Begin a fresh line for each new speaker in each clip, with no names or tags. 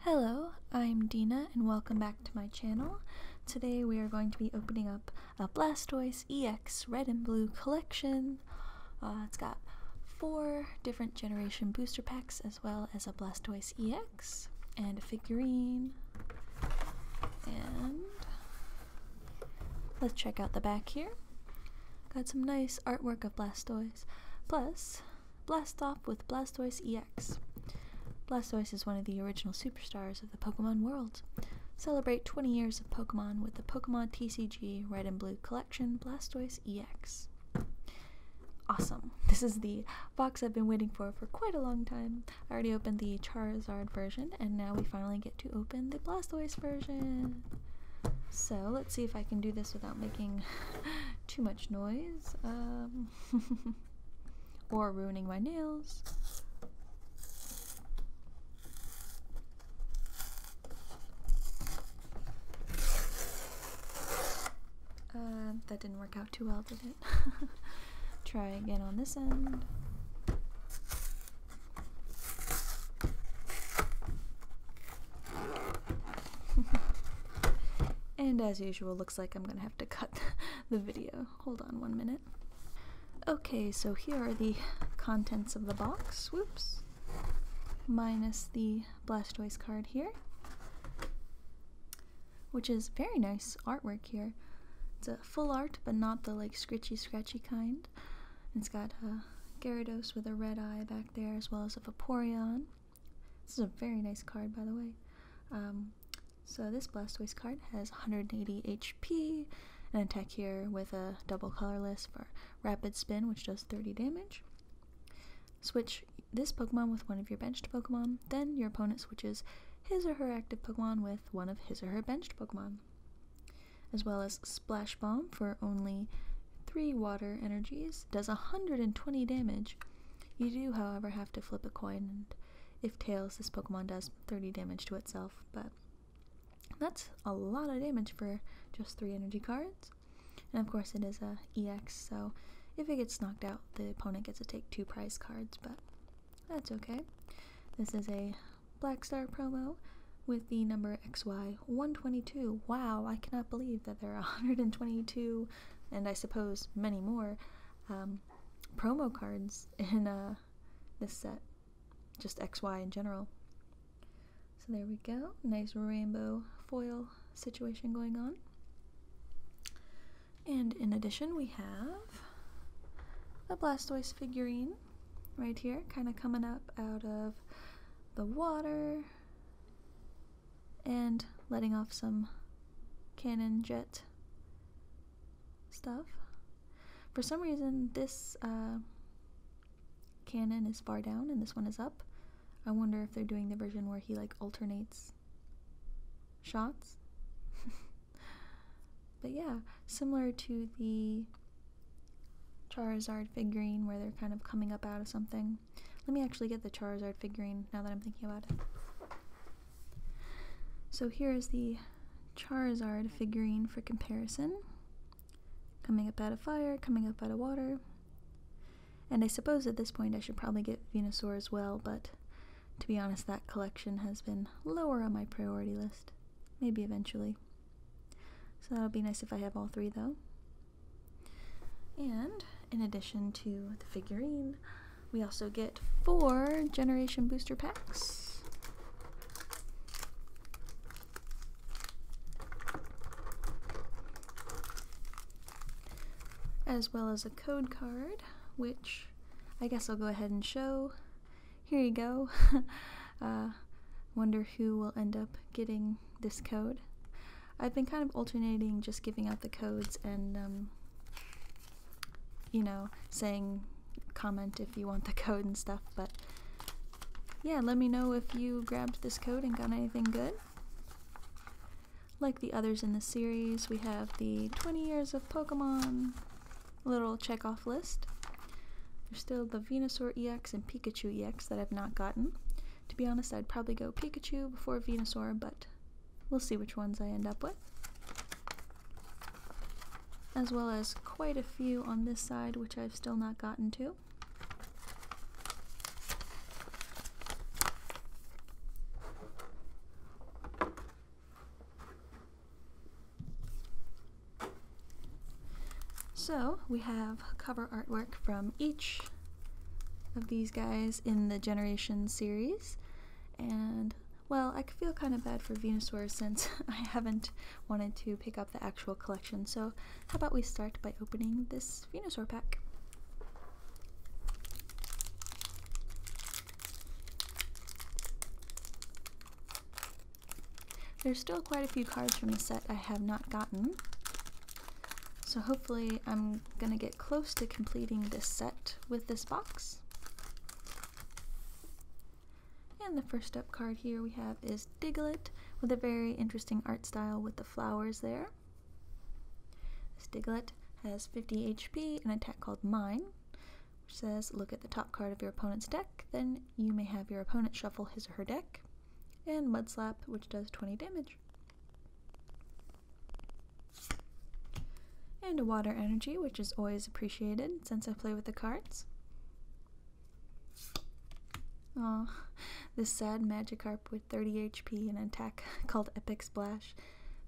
Hello, I'm Dina and welcome back to my channel. Today we are going to be opening up a Blastoise EX Red and Blue collection. Uh, it's got four different generation booster packs as well as a Blastoise EX and a figurine. And let's check out the back here. Got some nice artwork of Blastoise. Plus, blast off with Blastoise EX. Blastoise is one of the original superstars of the Pokemon world. Celebrate 20 years of Pokemon with the Pokemon TCG Red and Blue Collection Blastoise EX. Awesome. This is the box I've been waiting for for quite a long time. I already opened the Charizard version, and now we finally get to open the Blastoise version. So let's see if I can do this without making too much noise um, or ruining my nails. Um, that didn't work out too well, did it? Try again on this end. and as usual, looks like I'm gonna have to cut the video. Hold on one minute. Okay, so here are the contents of the box. Whoops. Minus the Blastoise card here, which is very nice artwork here. It's a full art, but not the like scritchy scratchy kind. It's got a uh, Gyarados with a red eye back there, as well as a Vaporeon. This is a very nice card, by the way. Um, so this Blastoise card has 180 HP, an attack here with a double colorless for Rapid Spin, which does 30 damage. Switch this Pokemon with one of your bench Pokemon, then your opponent switches his or her active Pokemon with one of his or her bench Pokemon. As well as Splash Bomb for only 3 water energies, does 120 damage, you do, however, have to flip a coin, and if tails, this Pokemon does 30 damage to itself, but that's a lot of damage for just three energy cards. And of course, it is a EX, so if it gets knocked out, the opponent gets to take two prize cards, but that's okay. This is a Black Star promo with the number XY122. Wow, I cannot believe that there are 122 and I suppose many more, um, promo cards in uh, this set. Just XY in general. So there we go. Nice rainbow foil situation going on. And in addition, we have the Blastoise figurine right here, kind of coming up out of the water and letting off some cannon jet stuff. For some reason, this uh, cannon is far down and this one is up. I wonder if they're doing the version where he like alternates shots. but yeah, similar to the Charizard figurine where they're kind of coming up out of something. Let me actually get the Charizard figurine now that I'm thinking about it. So here is the Charizard figurine for comparison. Coming up out of fire, coming up out of water. And I suppose at this point I should probably get Venusaur as well, but to be honest, that collection has been lower on my priority list. Maybe eventually. So that'll be nice if I have all three though. And in addition to the figurine, we also get four Generation Booster Packs. As well as a code card, which I guess I'll go ahead and show. Here you go. Uh, wonder who will end up getting this code. I've been kind of alternating just giving out the codes and, um, you know, saying comment if you want the code and stuff, but yeah, let me know if you grabbed this code and got anything good. Like the others in the series, we have the 20 years of Pokemon little check off list. There's still the Venusaur EX and Pikachu EX that I've not gotten. To be honest, I'd probably go Pikachu before Venusaur, but We'll see which ones I end up with. As well as quite a few on this side, which I've still not gotten to. So we have cover artwork from each of these guys in the Generation series. And, well, I feel kind of bad for Venusaur since I haven't wanted to pick up the actual collection. So, how about we start by opening this Venusaur pack? There's still quite a few cards from the set I have not gotten. So hopefully I'm going to get close to completing this set with this box. And the first up card here we have is Diglett with a very interesting art style with the flowers there. This Diglett has 50 HP and an attack called Mine, which says look at the top card of your opponent's deck, then you may have your opponent shuffle his or her deck, and Mudslap, which does 20 damage. And a water energy, which is always appreciated since I play with the cards. Oh, this sad Magikarp with 30 HP and an attack called Epic Splash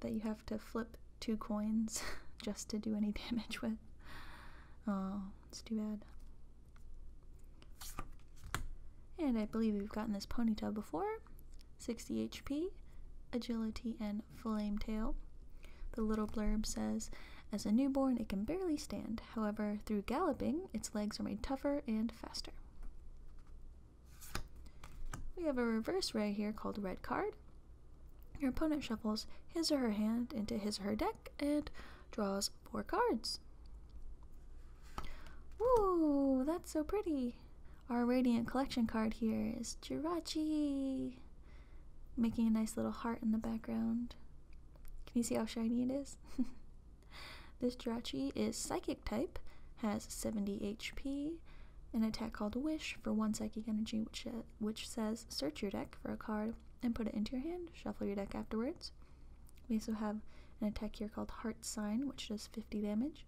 that you have to flip two coins just to do any damage with. Oh, it's too bad. And I believe we've gotten this Ponyta before, 60 HP, agility, and flame tail. The little blurb says, As a newborn, it can barely stand. However, through galloping, its legs are made tougher and faster. We have a reverse ray here called Red Card. Your opponent shuffles his or her hand into his or her deck and draws four cards. Whoa, that's so pretty! Our Radiant Collection card here is Jirachi! Making a nice little heart in the background. Can you see how shiny it is? this Jirachi is Psychic type, has 70 HP, an attack called Wish for 1 Psychic Energy, uh, which says search your deck for a card and put it into your hand, shuffle your deck afterwards. We also have an attack here called Heart Sign, which does 50 damage.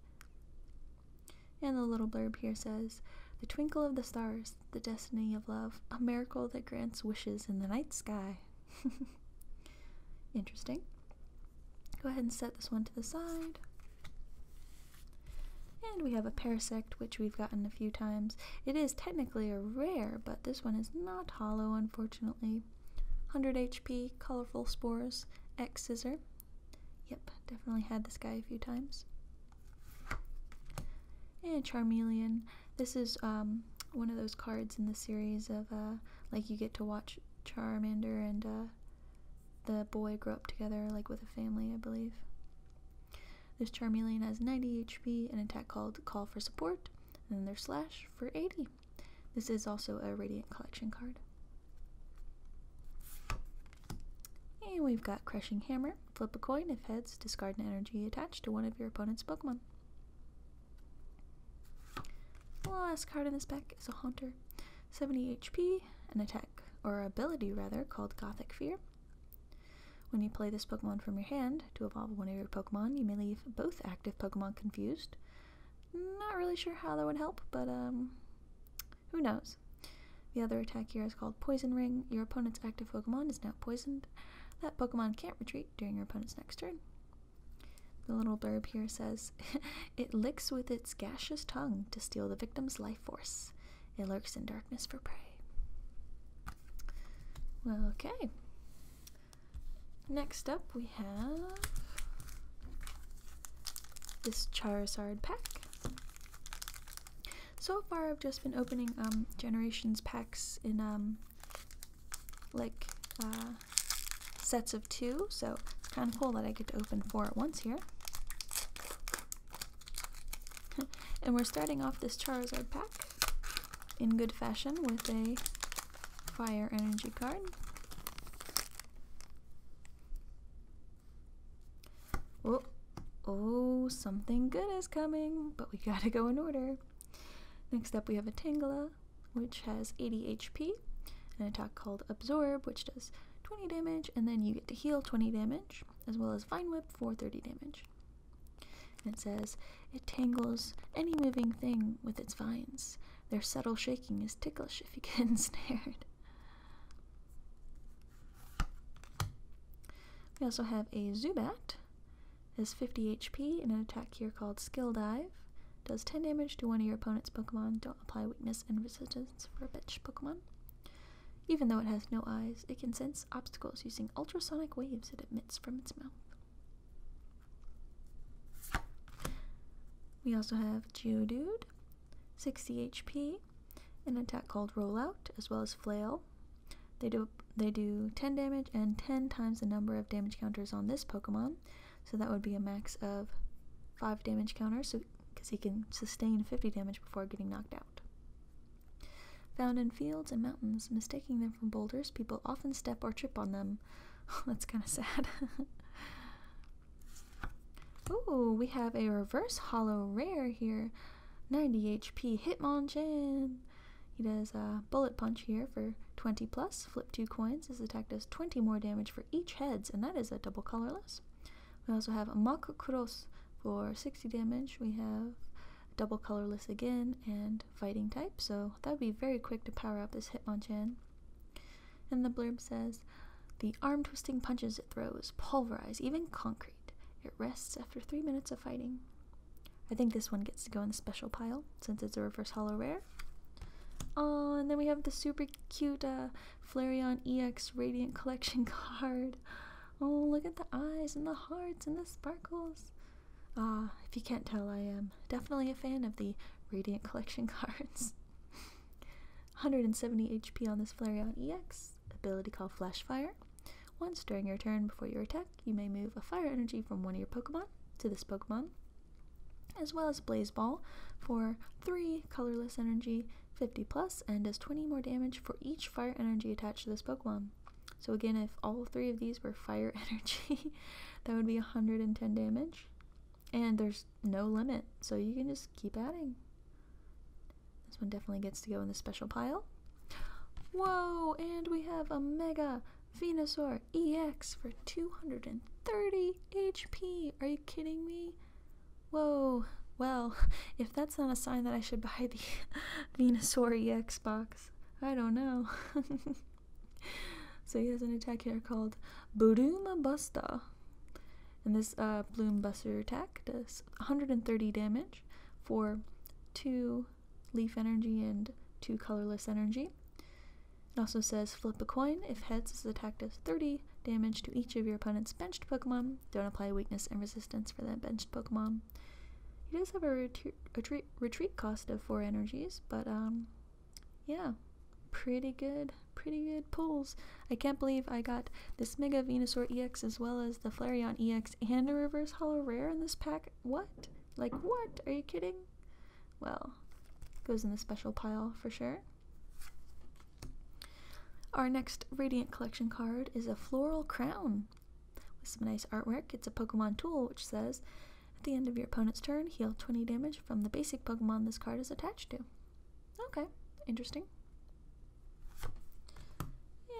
And the little blurb here says, The twinkle of the stars, the destiny of love, a miracle that grants wishes in the night sky. Interesting. Go ahead and set this one to the side. And we have a Parasect, which we've gotten a few times. It is technically a rare, but this one is not hollow, unfortunately. 100 HP, colorful spores, X scissor, Yep, definitely had this guy a few times. And Charmeleon. This is um, one of those cards in the series of uh, like you get to watch Charmander and uh, the boy grow up together, like with a family, I believe. This Charmeleon has 90 HP, an attack called Call for Support, and then their Slash for 80. This is also a Radiant Collection card. And we've got Crushing Hammer. Flip a coin. If heads, discard an energy attached to one of your opponent's Pokemon. last card in this pack is a Haunter. 70 HP, an attack, or ability rather, called Gothic Fear. When you play this Pokemon from your hand to evolve one of your Pokemon, you may leave both active Pokemon confused. Not really sure how that would help, but um, who knows? The other attack here is called Poison Ring. Your opponent's active Pokemon is now poisoned. That Pokemon can't retreat during your opponent's next turn. The little blurb here says, It licks with its gaseous tongue to steal the victim's life force. It lurks in darkness for prey. Well, okay. Next up, we have this Charizard pack. So far, I've just been opening um, Generations packs in um, like uh, sets of two, so it's kind of cool that I get to open four at once here. and we're starting off this Charizard pack in good fashion with a Fire Energy card. Oh, oh, something good is coming, but we gotta go in order. Next up, we have a Tangela, which has 80 HP, an attack called Absorb, which does 20 damage, and then you get to heal 20 damage, as well as Vine Whip for 30 damage. it says, It tangles any moving thing with its vines. Their subtle shaking is ticklish if you get ensnared. We also have a Zubat. Has 50 HP and an attack here called Skill Dive. Does 10 damage to one of your opponent's Pokemon. Don't apply weakness and resistance for a bitch Pokemon. Even though it has no eyes, it can sense obstacles using ultrasonic waves it emits from its mouth. We also have Geodude. 60 HP, an attack called Rollout, as well as Flail. They do, they do 10 damage and 10 times the number of damage counters on this Pokemon, so that would be a max of 5 damage counters, so, because he can sustain 50 damage before getting knocked out. Found in fields and mountains, mistaking them for boulders, people often step or trip on them. That's kind of sad. Ooh, we have a reverse hollow rare here. 90 HP Hitmonchan. He does a bullet punch here for 20 plus. Flip two coins. is attacked as 20 more damage for each heads, and that is a double colorless. We also have Makakros for 60 damage. We have double colorless again and fighting type, so that would be very quick to power up this Hitmonchan. And the blurb says the arm twisting punches it throws pulverize even concrete. It rests after three minutes of fighting. I think this one gets to go in the special pile since it's a reverse hollow rare. Oh, and then we have the super cute uh, Flareon EX Radiant Collection card. Oh, look at the eyes and the hearts and the sparkles. Ah, if you can't tell, I am definitely a fan of the Radiant Collection cards. 170 HP on this Flareon EX, ability called Flash Fire. Once during your turn before your attack, you may move a fire energy from one of your Pokemon to this Pokemon, as well as Blaze Ball for 3 colorless energy, 50 plus, and does 20 more damage for each fire energy attached to this Pokemon. So again, if all three of these were fire energy, that would be 110 damage. And there's no limit, so you can just keep adding. This one definitely gets to go in the special pile. Whoa, and we have a Mega Venusaur EX for 230 HP. Are you kidding me? Whoa, well, if that's not a sign that I should buy the Venusaur EX box, I don't know. so he has an attack here called Buduma Busta. And this uh, Bloom Buster attack does 130 damage for 2 leaf energy and 2 colorless energy. It also says flip a coin. If heads, this attack does 30 damage to each of your opponent's benched Pokemon. Don't apply weakness and resistance for that benched Pokemon. He does have a retreat, cost of 4 energies, but um, yeah, pretty good pretty good pulls. I can't believe I got this Mega Venusaur EX as well as the Flareon EX and a Reverse Hollow Rare in this pack. What? Like what? Are you kidding? Well, goes in the special pile for sure. Our next Radiant Collection card is a Floral Crown with some nice artwork. It's a Pokemon tool which says, at the end of your opponent's turn, heal 20 damage from the basic Pokemon this card is attached to. Okay, interesting.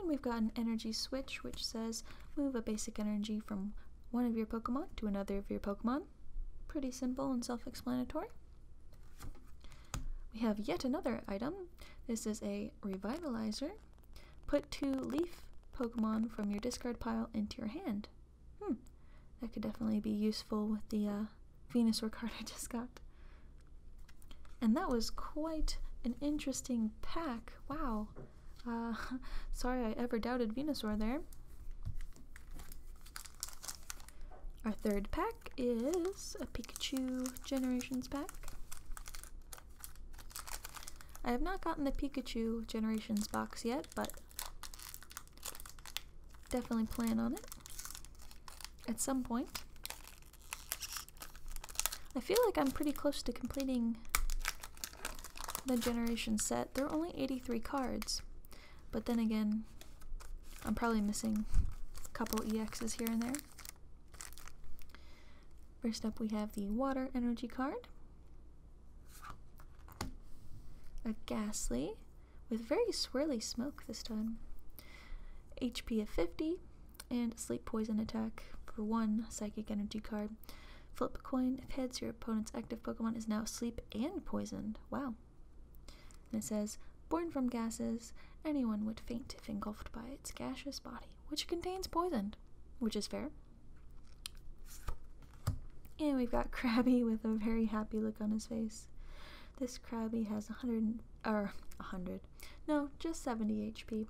And we've got an energy switch which says move a basic energy from one of your Pokemon to another of your Pokemon. Pretty simple and self explanatory. We have yet another item. This is a revitalizer. Put two leaf Pokemon from your discard pile into your hand. Hmm, that could definitely be useful with the uh, Venus Ricardo just got. And that was quite an interesting pack. Wow. Uh, sorry I ever doubted Venusaur there. Our third pack is a Pikachu Generations pack. I have not gotten the Pikachu Generations box yet, but definitely plan on it at some point. I feel like I'm pretty close to completing the generation set. There are only 83 cards, but then again, I'm probably missing a couple EXs here and there. First up, we have the water energy card, a ghastly with very swirly smoke this time. HP of 50, and Sleep Poison Attack for 1 Psychic Energy card. Flip a coin. If heads, your opponent's active Pokemon is now Sleep and poisoned. Wow. And it says, Born from gases, anyone would faint if engulfed by its gaseous body, which contains poison, which is fair. And we've got Krabby with a very happy look on his face. This Krabby has 100, or er, 100, no, just 70 HP,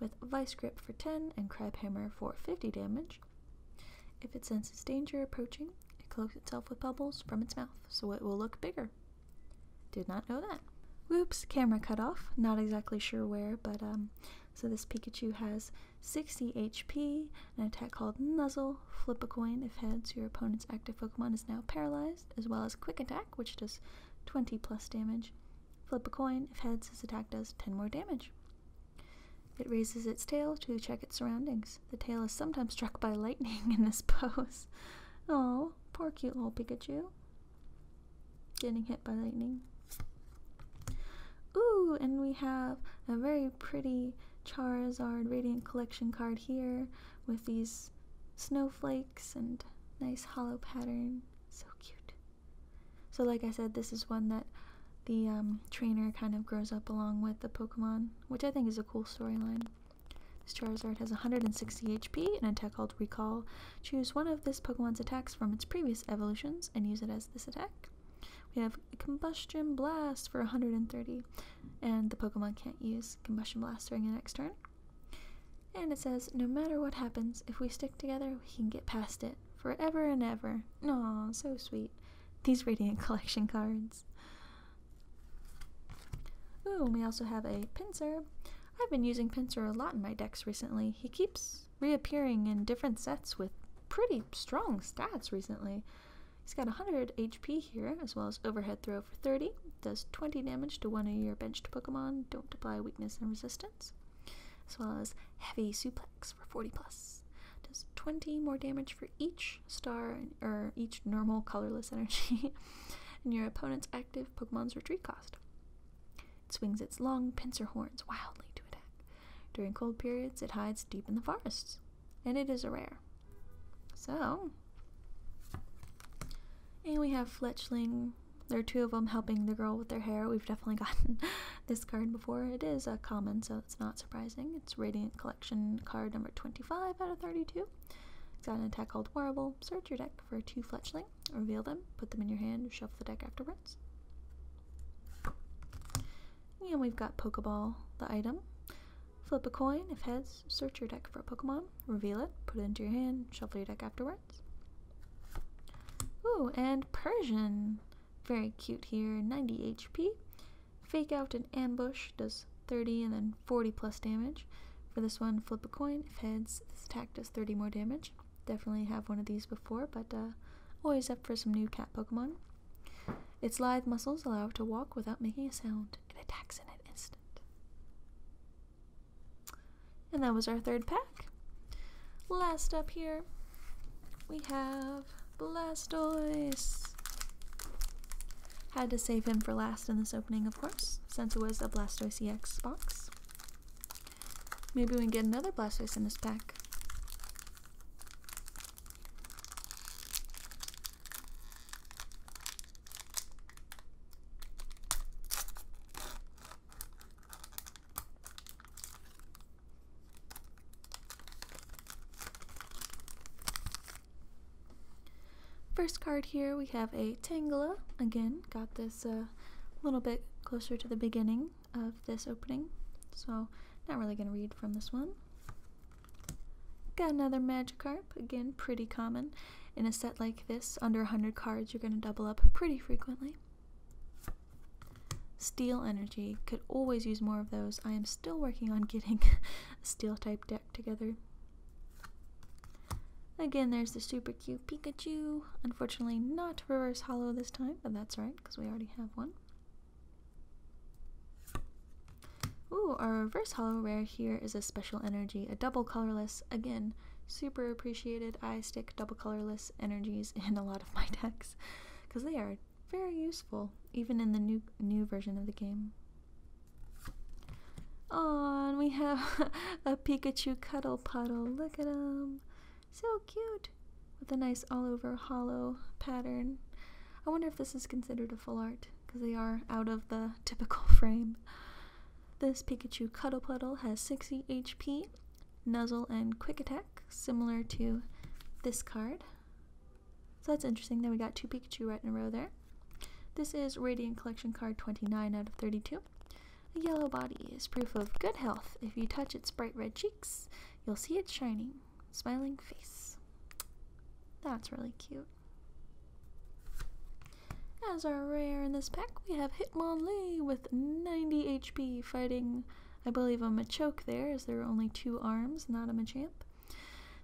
with Vice Grip for 10 and Crab Hammer for 50 damage. If it senses danger approaching, it cloaks itself with bubbles from its mouth so it will look bigger. Did not know that. Whoops, camera cut off. Not exactly sure where, but um, so this Pikachu has 60 HP, an attack called Nuzzle, flip a coin if heads, your opponent's active Pokemon is now paralyzed as well as quick attack, which does 20 plus damage. Flip a coin. If heads, his attack does 10 more damage. It raises its tail to check its surroundings. The tail is sometimes struck by lightning in this pose. Oh, poor cute little Pikachu. Getting hit by lightning. Ooh, and we have a very pretty Charizard Radiant Collection card here with these snowflakes and nice hollow pattern. So cute. So, like I said, this is one that the um, trainer kind of grows up along with the Pokemon, which I think is a cool storyline. This Charizard has 160 HP and a tech called Recall. Choose one of this Pokemon's attacks from its previous evolutions and use it as this attack. We have Combustion Blast for 130, and the Pokemon can't use Combustion Blast during the next turn. And it says, no matter what happens, if we stick together, we can get past it forever and ever. Aw, so sweet. These radiant collection cards. Ooh, we also have a pincer. I've been using pincer a lot in my decks recently. He keeps reappearing in different sets with pretty strong stats recently. He's got 100 HP here, as well as overhead throw for 30, does 20 damage to one of your benched Pokemon. Don't apply weakness and resistance. As well as heavy suplex for 40 plus. Does 20 more damage for each star or each normal colorless energy in your opponent's active Pokemon's retreat cost. It swings its long pincer horns wildly to attack. During cold periods, it hides deep in the forests, and it is a rare. So, and we have Fletchling. There are two of them helping the girl with their hair. We've definitely gotten this card before. It is a common, so it's not surprising. It's Radiant Collection card number 25 out of 32. It's got an attack called Warble. Search your deck for two Fletchling, reveal them, put them in your hand, shuffle the deck afterwards. And we've got Pokeball, the item. Flip a coin. If heads, search your deck for a Pokemon, reveal it, put it into your hand, shuffle your deck afterwards. Ooh, and Persian. Very cute here. 90 HP. Fake out an ambush does 30 and then 40 plus damage. For this one, flip a coin. If heads, this attack does 30 more damage. Definitely have one of these before, but uh, always up for some new cat Pokemon. Its lithe muscles allow it to walk without making a sound. It attacks in an instant. And that was our third pack. Last up here, we have Blastoise. Had to save him for last in this opening, of course, since it was a Blastoise EX box. Maybe we can get another Blastoise in this pack. First card here, we have a Tangela. Again, got this a uh, little bit closer to the beginning of this opening, so not really going to read from this one. Got another Magikarp, again, pretty common in a set like this, under a 100 cards, you're going to double up pretty frequently. Steel energy. Could always use more of those. I am still working on getting a steel type deck together. Again, there's the super cute Pikachu. Unfortunately, not reverse hollow this time, but that's alright because we already have one. Ooh, our reverse hollow rare here is a special energy, a double colorless. Again, super appreciated. I stick double colorless energies in a lot of my decks because they are very useful, even in the new new version of the game. Oh, and we have a Pikachu cuddle puddle. Look at him, so cute, with a nice all-over hollow pattern. I wonder if this is considered a full art because they are out of the typical frame. This Pikachu Cuddle Cuddlepuddle has 60 HP, Nuzzle, and Quick Attack, similar to this card. So that's interesting. Then we got two Pikachu right in a row there. This is Radiant Collection card 29 out of 32. A yellow body is proof of good health. If you touch its bright red cheeks, you'll see its shining, smiling face. That's really cute. As are rare in this pack, we have Hitmonlee with 90 HP fighting, I believe, I'm a choke there, as there are only two arms, not a Machamp.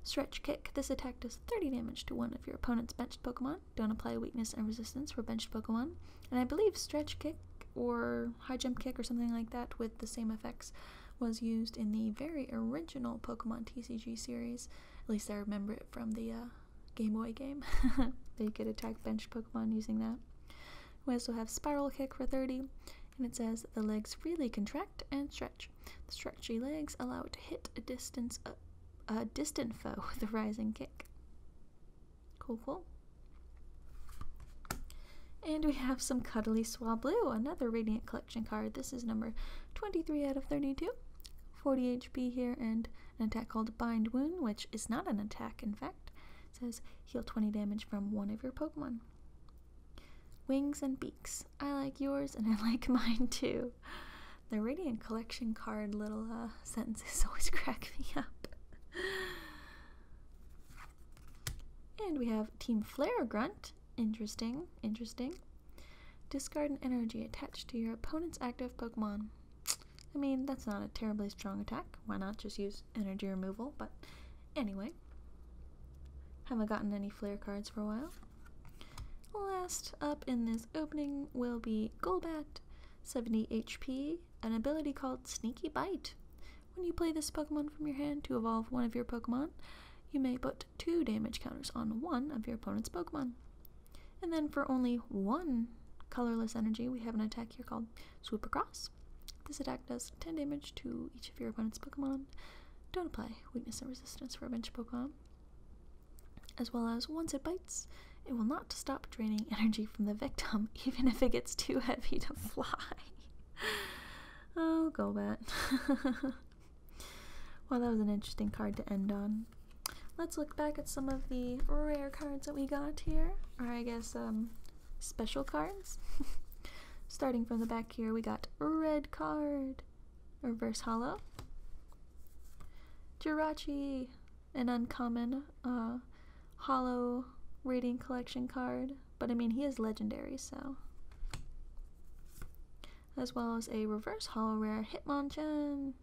Stretch Kick. This attack does 30 damage to one of your opponent's benched Pokemon. Don't apply weakness and resistance for benched Pokemon. And I believe Stretch Kick or High Jump Kick or something like that with the same effects was used in the very original Pokemon TCG series. At least I remember it from the uh, Game Boy game. They could attack bench Pokemon using that. We also have Spiral Kick for 30, and it says the legs freely contract and stretch. The stretchy legs allow it to hit a distance uh, a distant foe with a rising kick. Cool, cool. And we have some Cuddly Swablu, another Radiant Collection card. This is number 23 out of 32. 40 HP here, and an attack called Bind Wound, which is not an attack, in fact. says heal 20 damage from one of your Pokemon. Wings and Beaks. I like yours and I like mine too. The Radiant Collection card little uh, sentences always crack me up. and we have Team Flare Grunt. Interesting, interesting. Discard an energy attached to your opponent's active Pokemon. I mean, that's not a terribly strong attack. Why not just use energy removal? But anyway, haven't gotten any flare cards for a while. Last up in this opening will be Golbat, 70 HP, an ability called Sneaky Bite. When you play this Pokemon from your hand to evolve one of your Pokemon, you may put two damage counters on one of your opponent's Pokemon. And then for only one colorless energy, we have an attack here called Swoop Across. This attack does 10 damage to each of your opponent's Pokemon. Don't apply weakness and resistance for a bench Pokemon. As well as once it bites, it will not stop draining energy from the victim, even if it gets too heavy to fly. oh, go bat. well, that was an interesting card to end on. Let's look back at some of the rare cards that we got here, or I guess um, special cards. Starting from the back here, we got Red Card, Reverse Hollow, Jirachi, an uncommon uh, Hollow Rating Collection card, but I mean, he is legendary, so. As well as a Reverse Hollow Rare Hitmonchan.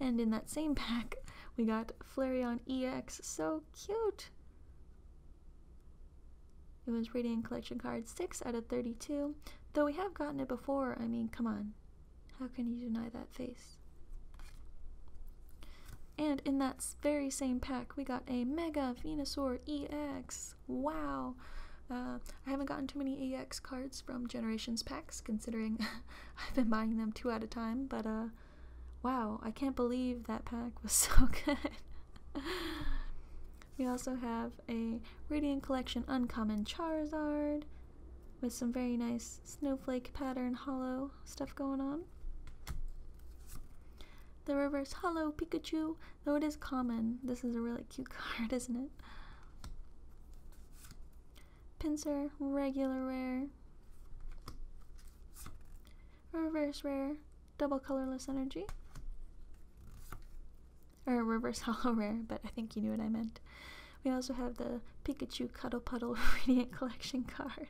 And in that same pack, we got Flareon EX. So cute! It was Radiant Collection Card 6 out of 32. Though we have gotten it before, I mean, come on. How can you deny that face? And in that very same pack, we got a Mega Venusaur EX. Wow! Uh, I haven't gotten too many EX cards from Generations packs, considering I've been buying them two at a time, but uh, wow, I can't believe that pack was so good. we also have a Radiant Collection Uncommon Charizard with some very nice snowflake pattern hollow stuff going on. The reverse hollow Pikachu, though it is common. This is a really cute card, isn't it? Pincer, regular rare, reverse rare, double colorless energy, or reverse hollow rare, but I think you knew what I meant. We also have the Pikachu Cuddle Puddle Radiant Collection card.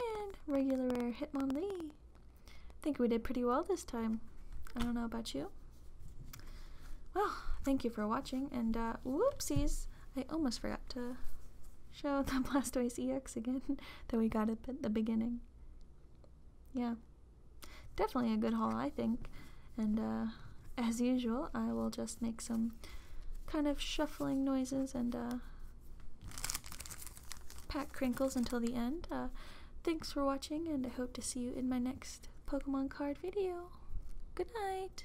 And regular rare Hitmonlee. I think we did pretty well this time. I don't know about you. Well, thank you for watching, and uh, whoopsies! I almost forgot to show the Blastoise EX again that we got at the beginning. Yeah. Definitely a good haul, I think. And uh, as usual, I will just make some kind of shuffling noises and uh, pack crinkles until the end. thanks for watching, and I hope to see you in my next Pokemon card video. Good night.